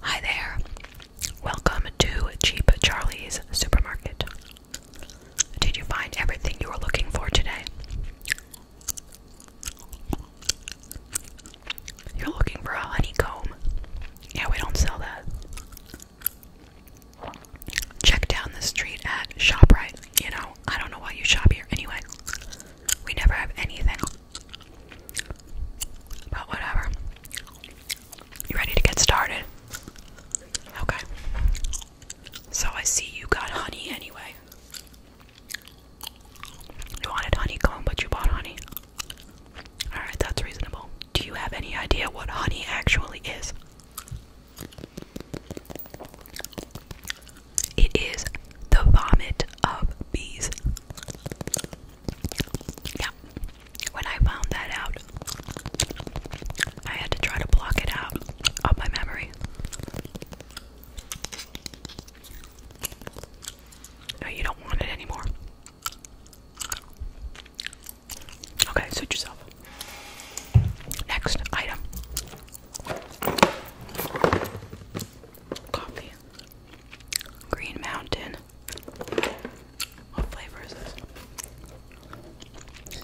Hi there. Welcome to Cheap Charlie's Supermarket. Did you find everything you were looking for today? You're looking for a honeycomb. Yeah, we don't sell that. Check down the street at ShopRite. You know, I don't know why you shop here anyway. We never have anything. But whatever. You ready to get started? Okay. So I see you got honey anyway. You wanted honeycomb, but you bought honey. Alright, that's reasonable. Do you have any idea what honey actually is? It is the vomit of bees. Yeah. When I found that out, I had to try to block it out of my memory. No, you don't want it anymore. Okay, suit yourself. Next item coffee. Green Mountain. What flavor is this?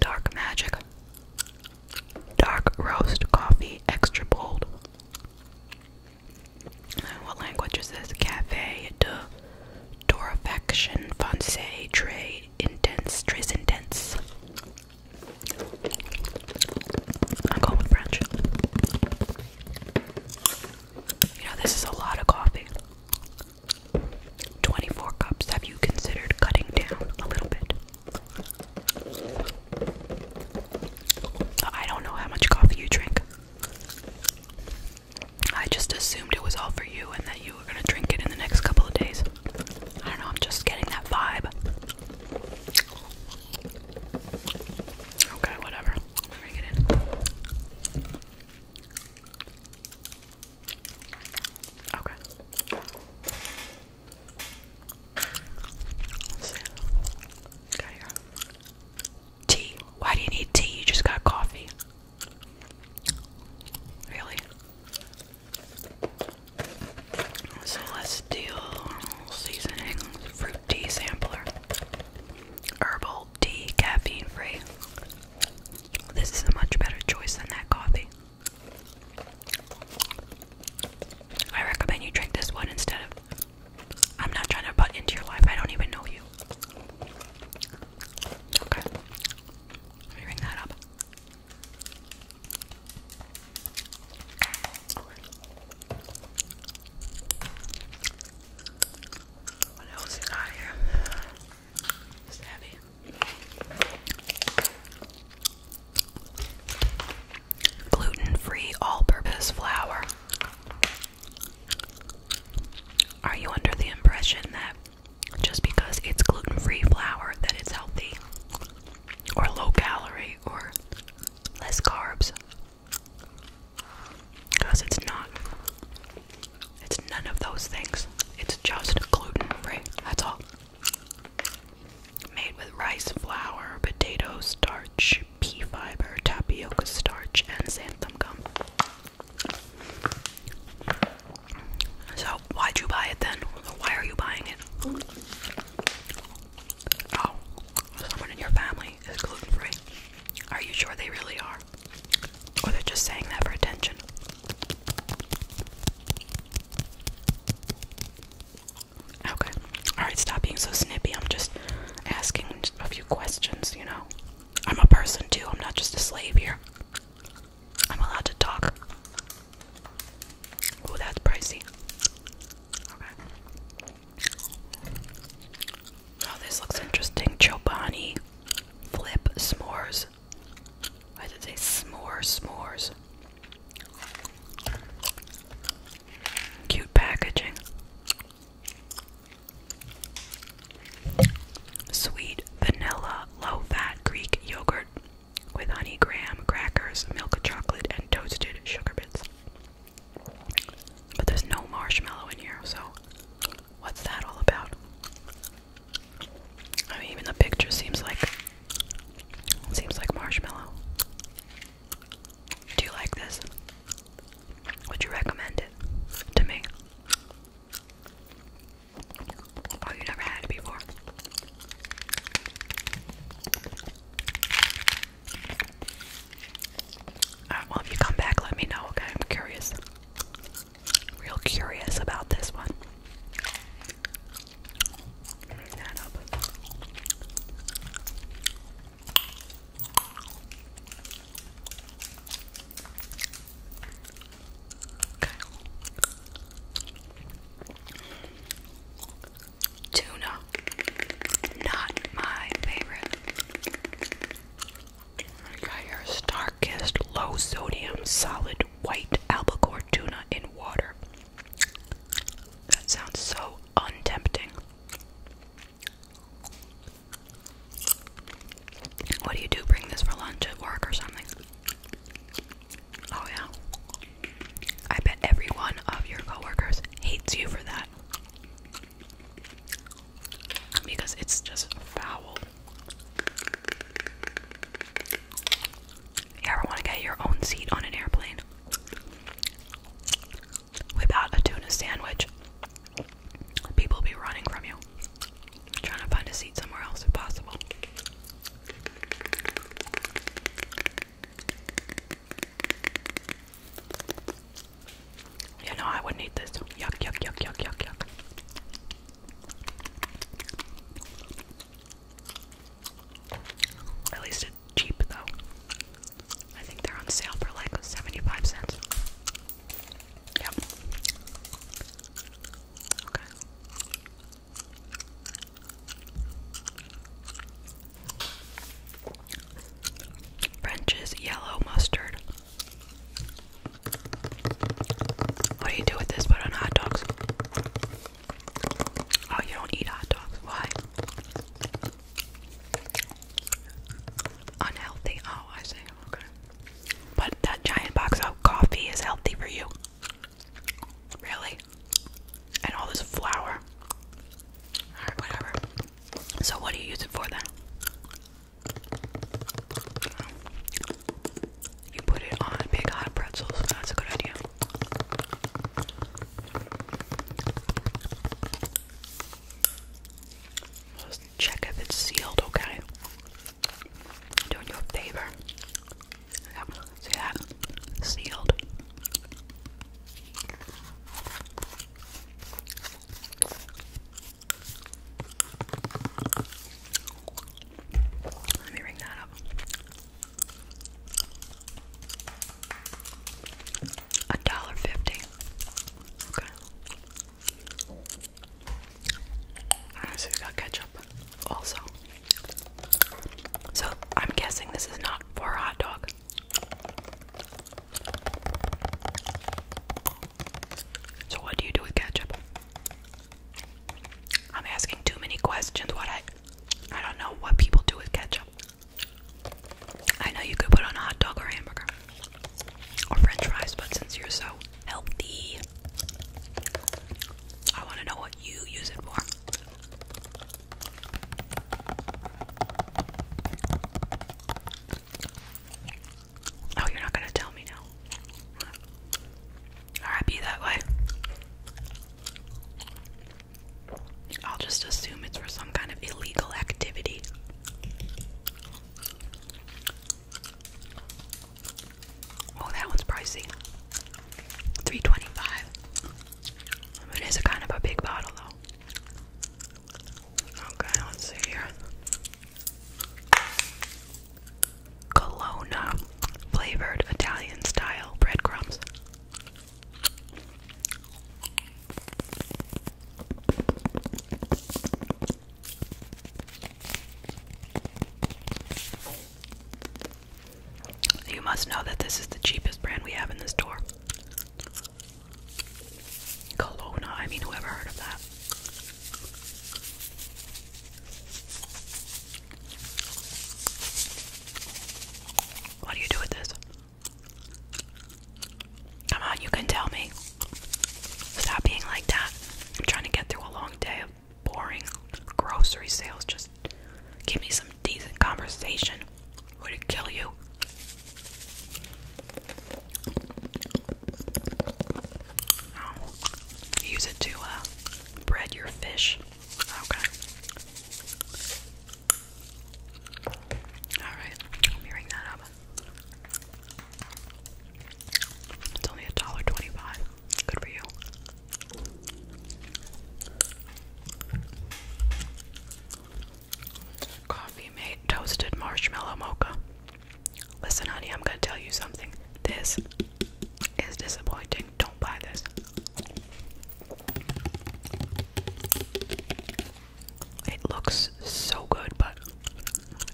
Dark Magic. Dark Roast Coffee, extra bold. what language is this? Cafe de Torrefaction Francais Très Intense. Très Intense. I'm going with French. You this is a lot of coffee. 24 cups. Have you considered cutting down a little bit? I don't know how much coffee you drink. I just assumed it was all for you and that you were going to drink it in the next couple of days. I don't know, I'm just getting that vibe. Okay, whatever. Bring it in. Okay. let Tea. Why do you need tea? You just got coffee. Really? So let's do seasoning fruit tea sampler. Herbal tea, caffeine free. This is a much better choice than that coffee. I recommend you drink this one instead of. I'm not trying to butt into your life, I don't even know you. Okay. Let me ring that up. Gluten-free all-purpose flour. Are you under the impression that just because it's gluten-free flour that it's healthy or low calorie or less carbs? Because it's not. It's none of those things. It's just gluten free. That's all. Made with rice flour, potato starch, pea fiber, tapioca starch, and xanthan gum. So, why'd you buy it then? Why are you buying it? Oh, someone in your family is gluten free. Are you sure they really are? Or they're just saying that for attention? Okay. Alright, stop being so snippy. I'm just asking a few questions, you know. I'm a person too, I'm not just a slave here. I'm allowed to talk. Oh, that's pricey. Okay. Oh, this looks interesting. Chobani flip s'mores. Why did they s'more s'mores? Cute packaging. Sweet vanilla low fat Greek yogurt with honey graham crackers, milk chocolate, and toasted sugar bits. But there's no marshmallow in here, so what's that all about? I mean, even the picture seems like seems like marshmallow. Do you like this? Would you recommend it to me? Oh, you never had it before. Uh, well, if you come back, let me know, okay? I'm curious. Real curious about this one. Okay. Tuna. Not my favorite. I got your star low sodium solid white albacore tuna in water. That sounds so untempting. What do you do? Bring this for lunch at work or something? Oh yeah. I bet every one of your coworkers hates you for that because it's just foul. You ever want to get your own seat on an airplane? Whip a tuna sandwich. People be running from you, trying to find a seat somewhere else if possible. You know, I wouldn't eat this. Yuck, yuck, yuck, yuck, yuck, yuck. At least it's cheap, though. I think they're on sale for like 75 cents. Yep. Okay. French's yellow mustard. What do you do with this but on hot dogs? Oh, you don't eat hot dogs. Why? Unhealthy. Oh, I see. But that giant box of coffee is healthy for you. Really? And all this flour. Alright, whatever. So what do you use it for then? You put it on big hot pretzels. That's a good idea. check if it's sealed, okay? I'm a favor. see that? Sealed. Let me ring that up. A dollar fifty. Okay. Alright, so we got ketchup also. So I'm guessing this is not for hot dog. So, what do you do with ketchup? I'm asking too many questions. What I, I don't know what people do with ketchup. I know you could put on a hot dog or hamburger or French fries, but since you're so healthy, I want to know what you use it for. Oh, you're not gonna tell me now. Alright, be that way. I'll just assume it's for some kind of illegal activity. Oh, that one's pricey. 3 is a kind of a big bottle, though. Okay, let's see here. Colonna flavored Italian style breadcrumbs. You must know that this is the cheapest brand we have in the store. Kelowna, I mean, whoever heard of that? What do you do with this? Come on, you can tell me. Stop being like that. I'm trying to get through a long day of boring grocery sales. Just give me some decent conversation. Would it kill you? Oh. use it to uh, bread your fish. Okay. Alright, let me ring that It's only a dollar twenty-five. Good for you. Coffee mate toasted marshmallow mocha. Listen, honey, I'm gonna tell you something. This is disappointing. Don't buy this. It looks so good, but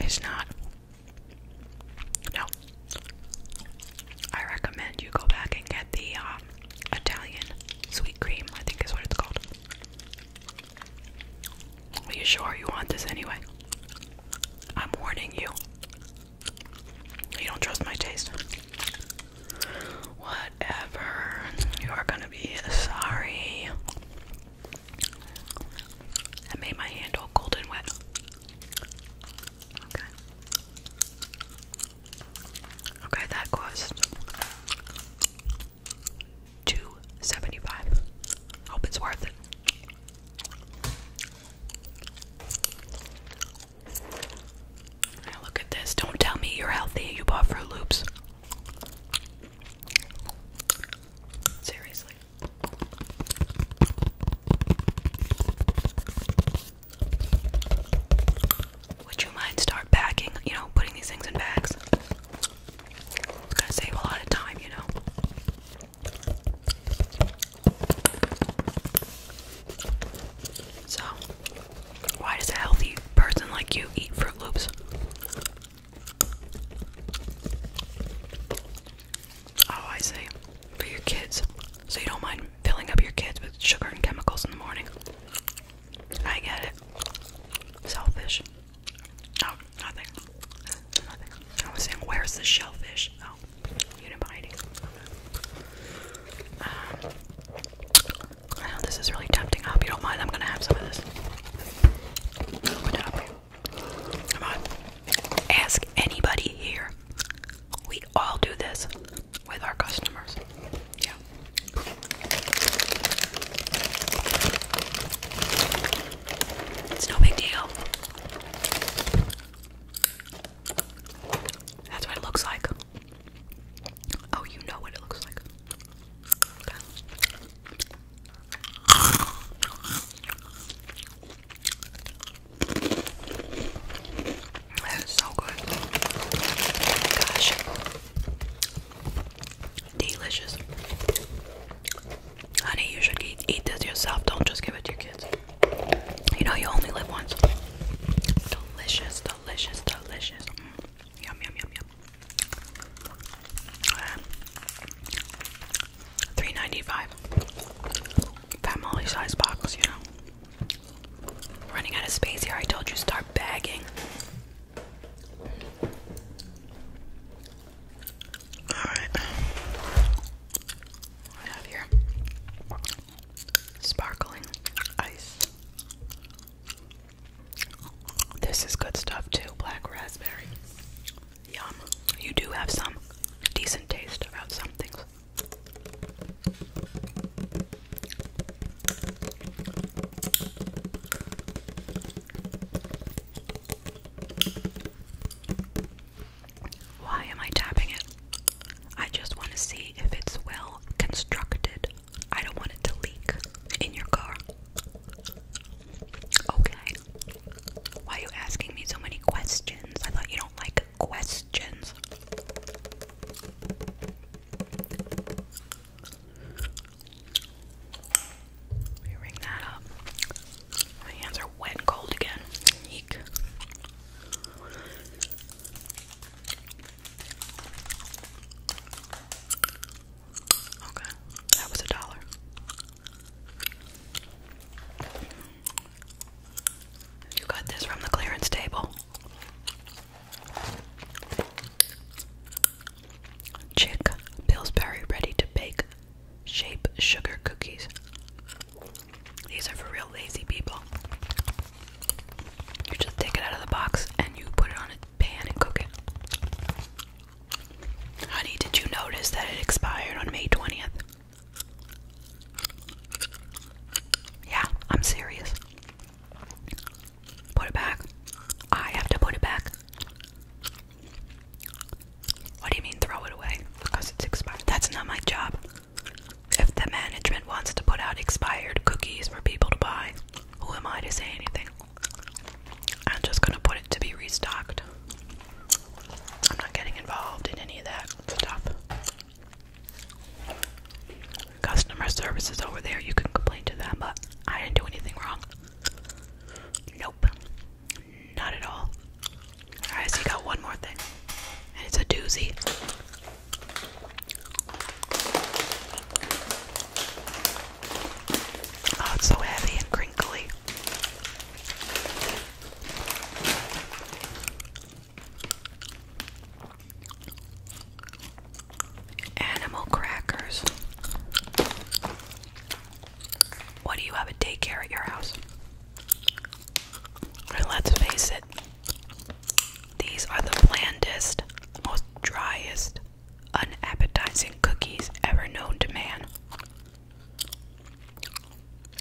it's not. No. I recommend you go back and get the um, Italian sweet cream, I think is what it's called. Are you sure you want this anyway? I'm warning you. You don't trust my taste. Whatever. You are gonna be sorry. I made my hand all cold and wet. Okay. Okay, that cost 2 Hope it's worth it. look at this. Don't tell me you're healthy. You bought Fruit Loops. Seriously. Would you mind start packing, you know, putting these things in bags? It's gonna save a lot of time, you know. So, why does a healthy person like you eat Fruit Loops? Oh, I see. For your kids. So you don't mind filling up your kids with sugar and chemicals in the morning. I get it. Selfish. Oh, nothing. Nothing. I was saying, where's the shellfish? Oh, you didn't uh, I know this is really tempting. I hope you don't mind. I'm gonna have some of this. What Come on. Ask anybody here. We all do this with our customers. Yeah. It's no big deal. That's what it looks like. Oh, you know what it looks like. Okay. so good. Gosh. Delicious. Honey, you should eat, this yourself. Don't just give it to your kids. You know, you only live once. Delicious, delicious, delicious. Mm. Yum, yum, yum, yum. Uh, three ninety-five. Family size box, you know. Running out of space here. I told you, start bagging. Alright. What have here? Sparkling ice. This is good stuff too, black raspberry. Yum. You do have some decent taste about some things. Why am I tapping it? I just want to see if it's well constructed. I don't want it to leak in your car. Okay. Why are you asking me so many questions? I thought you don't like questions. We ring that up. My hands are wet and cold again. Okay, that was a dollar. You got this from the clearance table. Chick Pillsbury ready to bake shape sugar cookies. These are for real lazy people. You just take it out of the box and you put it on a pan and cook it. Honey, did you notice that it expired on May 20th? Yeah, I'm serious. Put it back. I have to put it back. What do you mean throw it away? Because it's expired. That's not my job. If the management wants to put out expired cookies for people to buy, who am I to say anything? I'm just gonna put it to be restocked. I'm not getting involved in any of that stuff. Customer service is over there, you can complain to them, but I didn't do anything wrong. Nope. Not at all. Alright, you got one more thing. And it's a doozy. Oh, it's so heavy and crinkly. Animal crackers. What do you have a daycare at your house? let's face it, these are the blandest, most driest, unappetizing cookies ever known to man.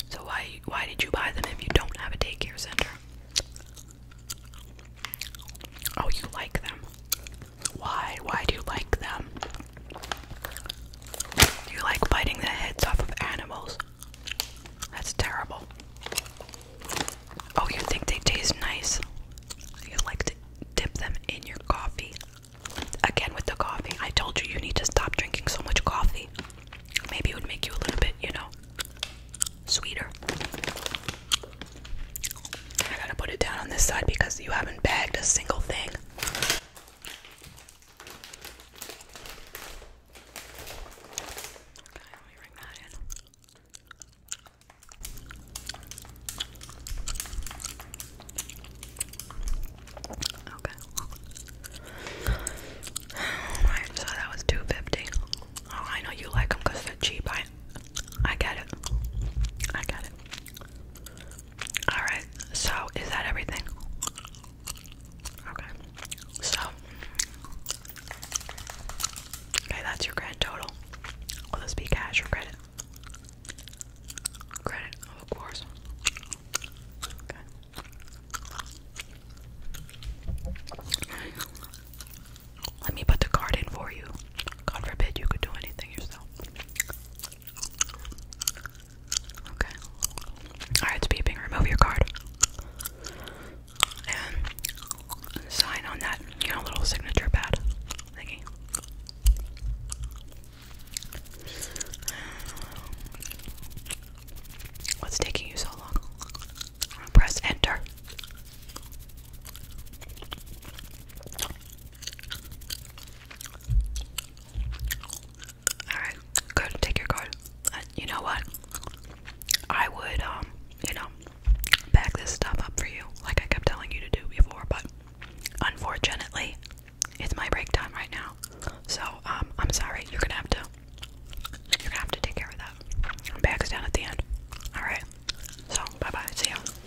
So why why did you buy them if you don't have a daycare center? Oh, you like them. Why? Why do you like them? Do you like biting the heads off of animals? That's terrible. Oh, you think they taste nice? You like to dip them in your coffee. Again, with the coffee. I told you you need to stop drinking so much coffee. Maybe it would make you a little bit, you know, sweeter. I gotta put it down on this side because you haven't bagged a single thing. Okay, so oh, that was two fifty. Oh, I know you like them they're cheap. I got it. I got it. Alright, so is that everything? Okay. So Okay, that's your grand total. Will this be cash or credit? Credit, of course. Okay. Let me put the card in for you. God forbid you could do anything yourself. Okay. Alright, it's beeping. Remove your card. And sign on that, little signature pad What's taking you so long? Press enter. Alright, good, take your card. Uh, you know what? I would, um, you know, back this stuff up for you, like I kept telling you to do before, but unfortunately, it's my break time right now. So, um, I'm sorry, you're gonna have to, you're gonna have to take care of that. Back's down at the end. Alright, so, bye bye, see ya.